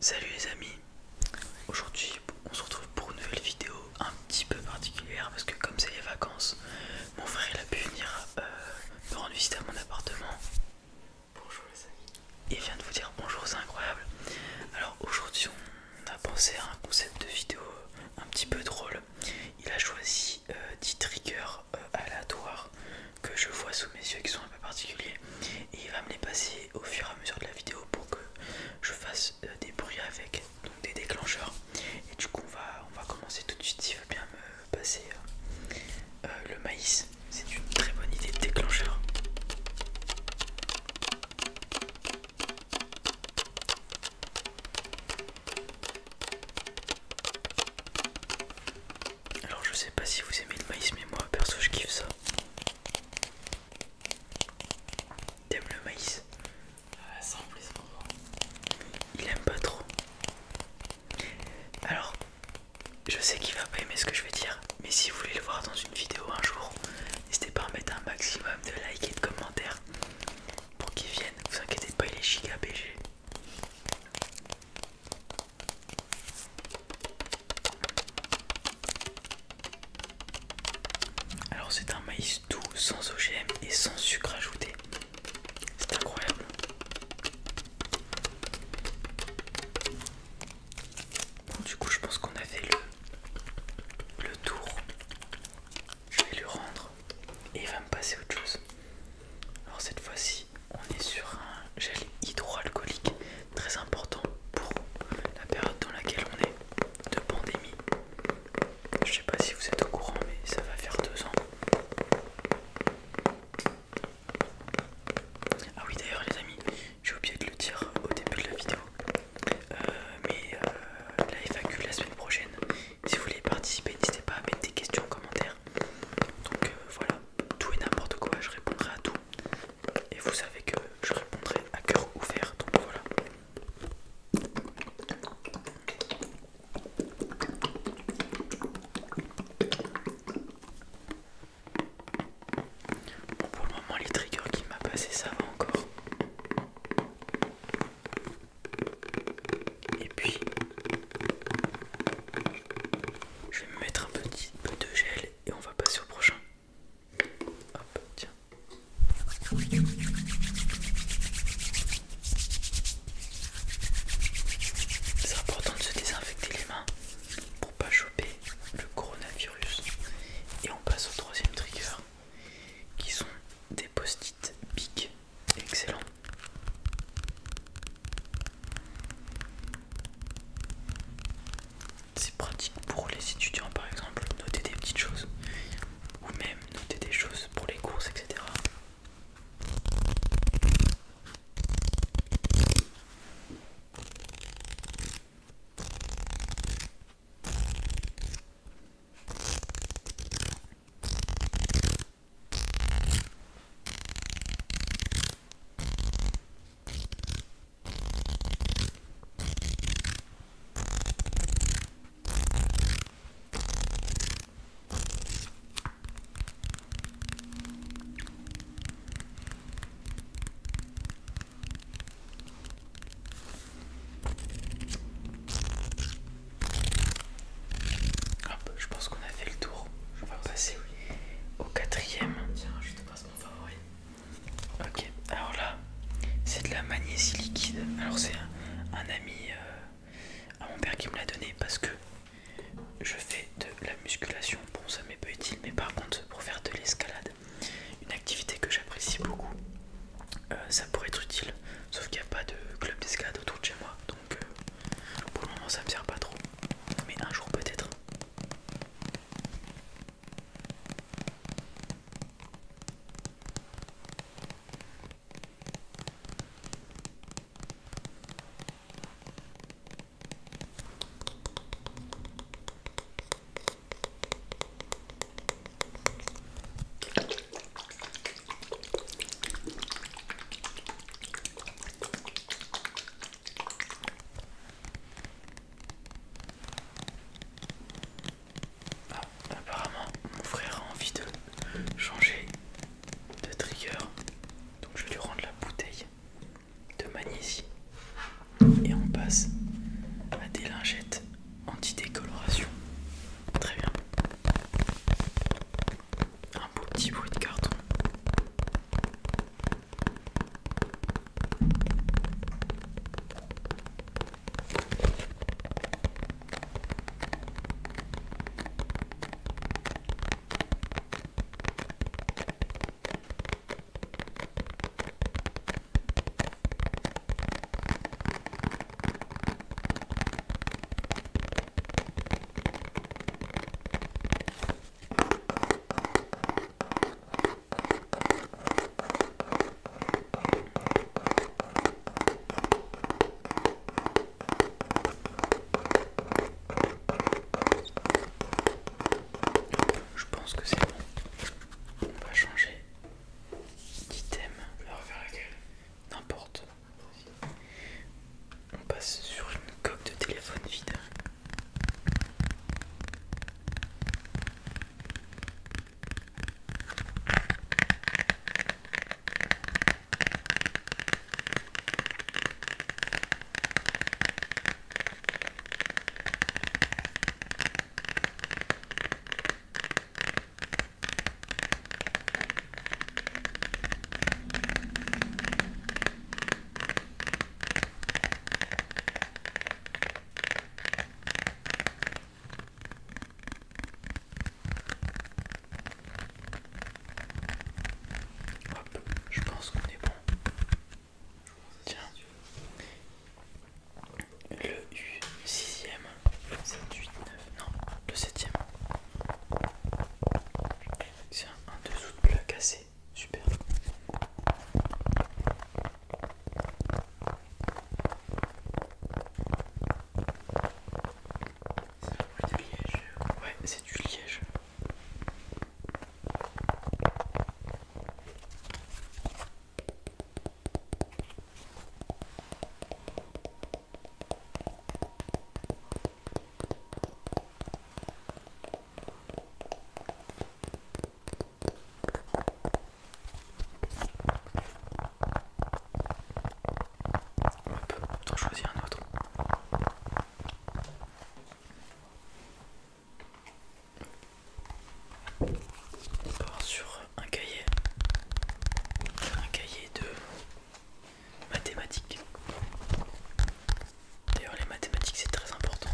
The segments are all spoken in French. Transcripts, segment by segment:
Salut les amis, aujourd'hui on se retrouve pour une nouvelle vidéo un petit peu particulière parce que comme c'est les vacances, mon frère il a pu venir euh, me rendre visite à mon appartement. Bonjour les amis. Il vient de vous dire bonjour, c'est incroyable. Alors aujourd'hui on a pensé à un concept de vidéo euh, un petit peu drôle. Il a choisi 10 euh, triggers aléatoires que je vois sous mes yeux qui sont particulier et il va me les passer au fur et à mesure de la vidéo pour que je fasse euh, des bruits avec donc des déclencheurs et du coup on va, on va commencer tout de suite s'il veut bien me passer euh, euh, le maïs c'est une très bonne idée de déclencheur alors je sais pas si vous aimez le maïs mais moi perso je kiffe ça T'aimes le maïs Ça Il aime pas trop. Alors, je sais qu'il va pas aimer ce que je vais dire, mais si vous voulez le voir dans une vidéo un jour, n'hésitez pas à mettre un maximum de likes et de commentaires pour qu'il vienne. Vous inquiétez pas, il est giga BG. Alors c'est un maïs doux, sans OGM et sans sucre ajouté. C'est incroyable. Bon du coup je pense qu'on a fait le, le tour. Je vais lui rendre et il va me passer autre chose. Alors cette fois-ci, on est sur un gel hydroalcoolique très important pour la période dans laquelle on est de pandémie. Je sais pas si vous êtes au courant, mais ça va faire deux ans. Ah oui, d'ailleurs, les amis, j'ai oublié de le dire au début de la vidéo. Euh, mais euh, la FAQ la semaine prochaine, si vous voulez participer, n'hésitez pas à mettre des questions en commentaire. Donc euh, voilà, tout et n'importe quoi, je répondrai à tout. Et vous savez que je répondrai à cœur ouvert, donc voilà. Bon, pour le moment, les triggers qui m'a passé, ça va encore. Et puis, je vais me mettre un petit peu de gel et on va passer au prochain. Hop, tiens. C'est important de se désinfecter les mains pour pas choper le coronavirus. Et on passe au troisième trigger qui sont des post-it big. Excellent. C'est pratique pour les étudiants par exemple, noter des petites choses ou même noter des choses pour les courses, etc. Ah, bah, je pense qu'on a fait le tour. Je passer au quatrième. Tiens, je te passe mon favori. Ok, alors là, c'est de la magnésie liquide. Alors c'est un, ami euh, à mon père qui me l'a donné parce que je fais de la musculation. Bon, ça m'est pas utile, mais par contre, pour faire de l'escalade, une activité que j'apprécie beaucoup, euh, ça pourrait être utile. Sauf qu'il n'y a pas de club d'escalade autour de chez moi. Euh, pour le moment ça me sert pas trop, mais un jour peut-être. Ah, apparemment, mon frère a envie de changer de trigger. Donc je vais lui rendre la bouteille de magnésie. Et on passe à des lingettes anti-décoloration. Très bien un petit bruit de carton. Je pense que c'est bon. On va changer d'item. Le vais refaire N'importe. On passe sur une coque de téléphone vide. Hop, je pense qu'on est bon. Tiens, le 6 sixième, 7, 8, 9, non, le 7ème septième. C'est un dessous de plat cassé, super. C'est de liège. Ouais, c'est du liège. On peut en choisir un autre. On sur un cahier, un cahier de Mathématiques. D'ailleurs les mathématiques c'est très important.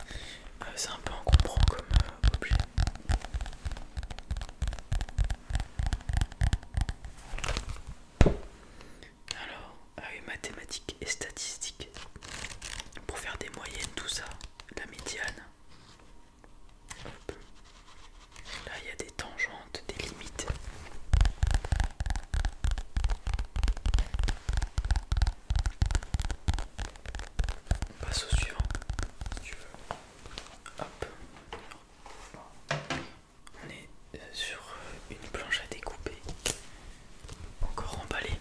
Euh, c'est un peu encombrant comme euh, objet. Alors, ah oui, mathématiques, et statistiques pour faire des moyennes, tout ça, la médiane. Là, il y a des tangentes, des limites. On passe au suivant, si tu veux. Hop. On est euh, sur euh, une planche à découper encore emballé.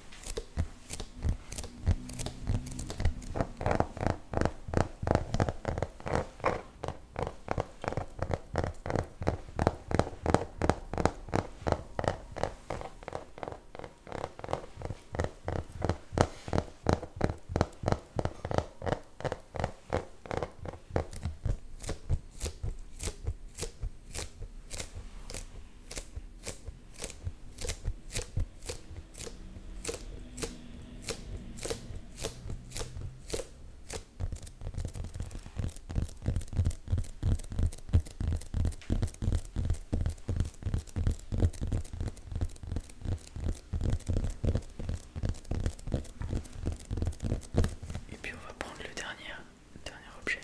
Et puis on va prendre le dernier dernier objet.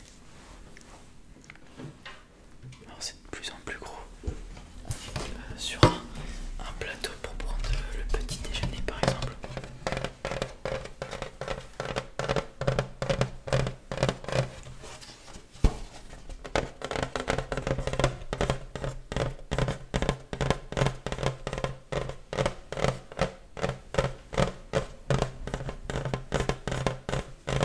Alors c'est de plus en plus gros. Euh, sur un plateau pour prendre le petit déjeuner par exemple.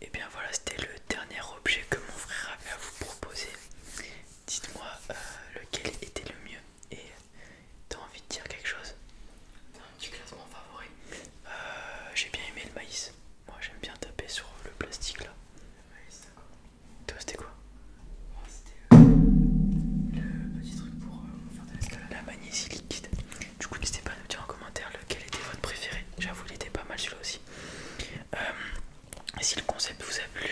Et bien voilà, c'était le dernier objet que mon frère avait à vous proposer. Dites-moi euh, lequel était le mieux. Et t'as envie de dire quelque chose Un petit classement favori. Euh, j'ai bien aimé le maïs. Moi j'aime bien taper sur le plastique là. Le maïs, d'accord. Toi c'était quoi C'était euh, le petit truc pour faire de l'escalade. La magnésie liquide. Du coup n'hésitez pas à nous dire en commentaire lequel était votre préféré. J'avoue il était pas mal celui-là aussi. Euh, si le concept vous a plu,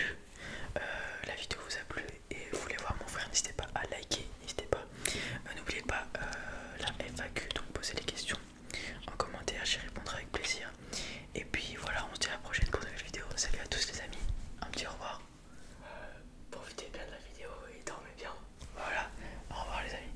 euh, la vidéo vous a plu et vous voulez voir mon frère, n'hésitez pas à liker, n'hésitez pas. Euh, n'oubliez pas la FAQ, donc posez les questions en commentaire, j'y répondrai avec plaisir. Et puis voilà, on se dit à la prochaine pour une nouvelle vidéo. Salut à tous les amis, un petit au revoir. profitez bien de la vidéo et dormez bien. Voilà, au revoir les amis.